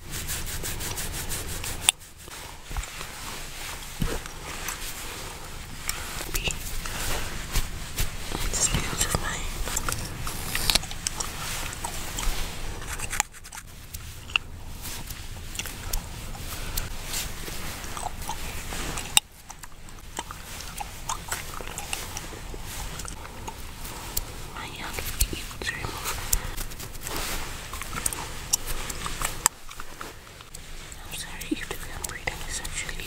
This feels My hand to remove I'm sorry You if the film reading is actually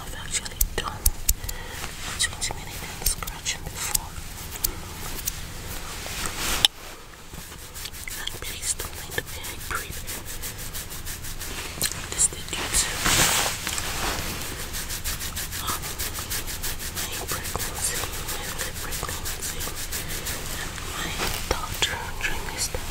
I've actually done between spinning and scratching before. And please don't the way I This did due to um, my pregnancy, my early pregnancy, and my daughter during this time.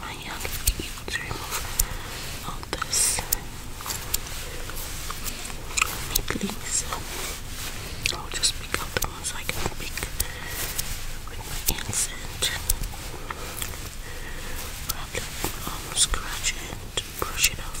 My young to remove all this meatlings. I'll just pick up the ones I can pick with my hands and probably um, scratch it brush it off.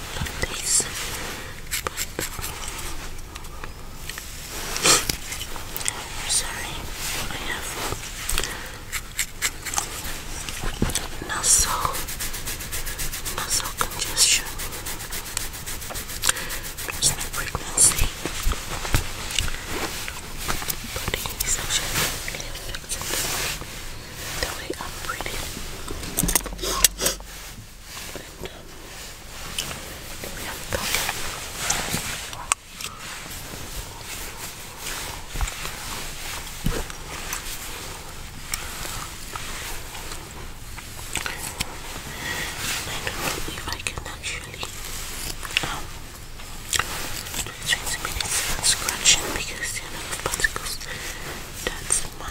couple of sorry, I have nasal nasal congestion. There's pregnancy. But the way I'm breathing and the way I'm talking. I don't know I can actually um, 20 minutes scratching because of particles that's my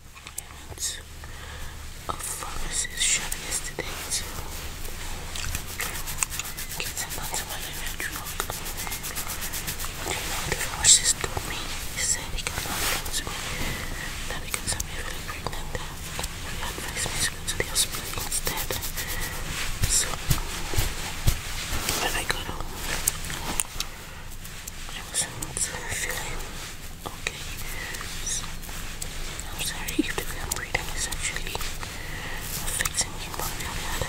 minutes of pharmacists shut yesterday too. Kids are not someone in a drug. Do you know the pharmacist told me? He said he cannot talk to me. That because I'm really pregnant and he advised me to go to the hospital instead. So when I got home I wasn't feeling okay. I'm sorry if the way I'm is actually affecting me one way or the other.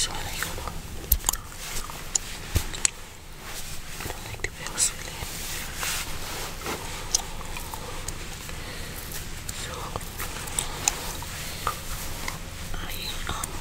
So I like it. I don't like the way I I um,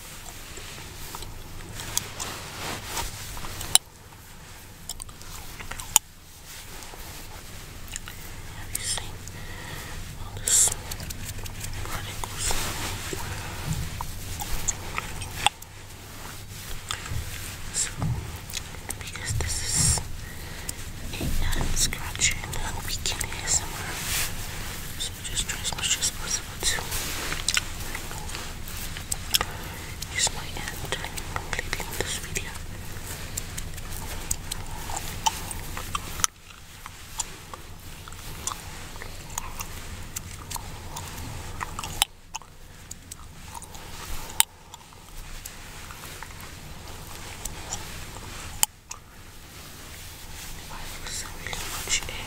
you see all this particles so because this is a um, scratching and we can hear somewhere so just try as much as possible to Use my hand completely on this video. Why was so much air?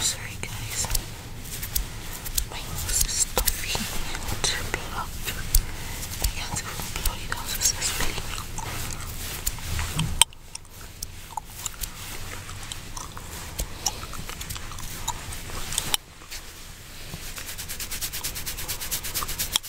Sorry guys, my nose is stuffy and blocked. I can't even blow it out successfully.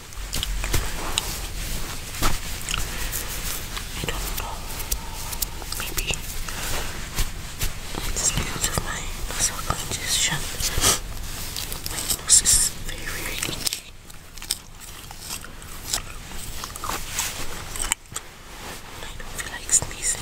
I don't know. Maybe it's because of my nasal congestion. My nose is very itchy. I don't feel like sneezing.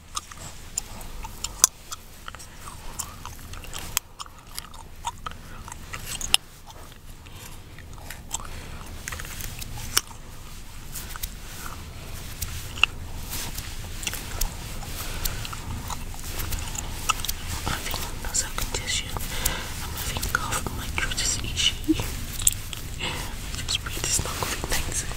I'm feeling no self condition. I'm having cough. My throat is itchy. Just breathe, it's not COVID 19.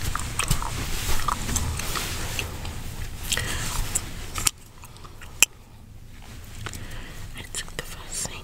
I took the vaccine.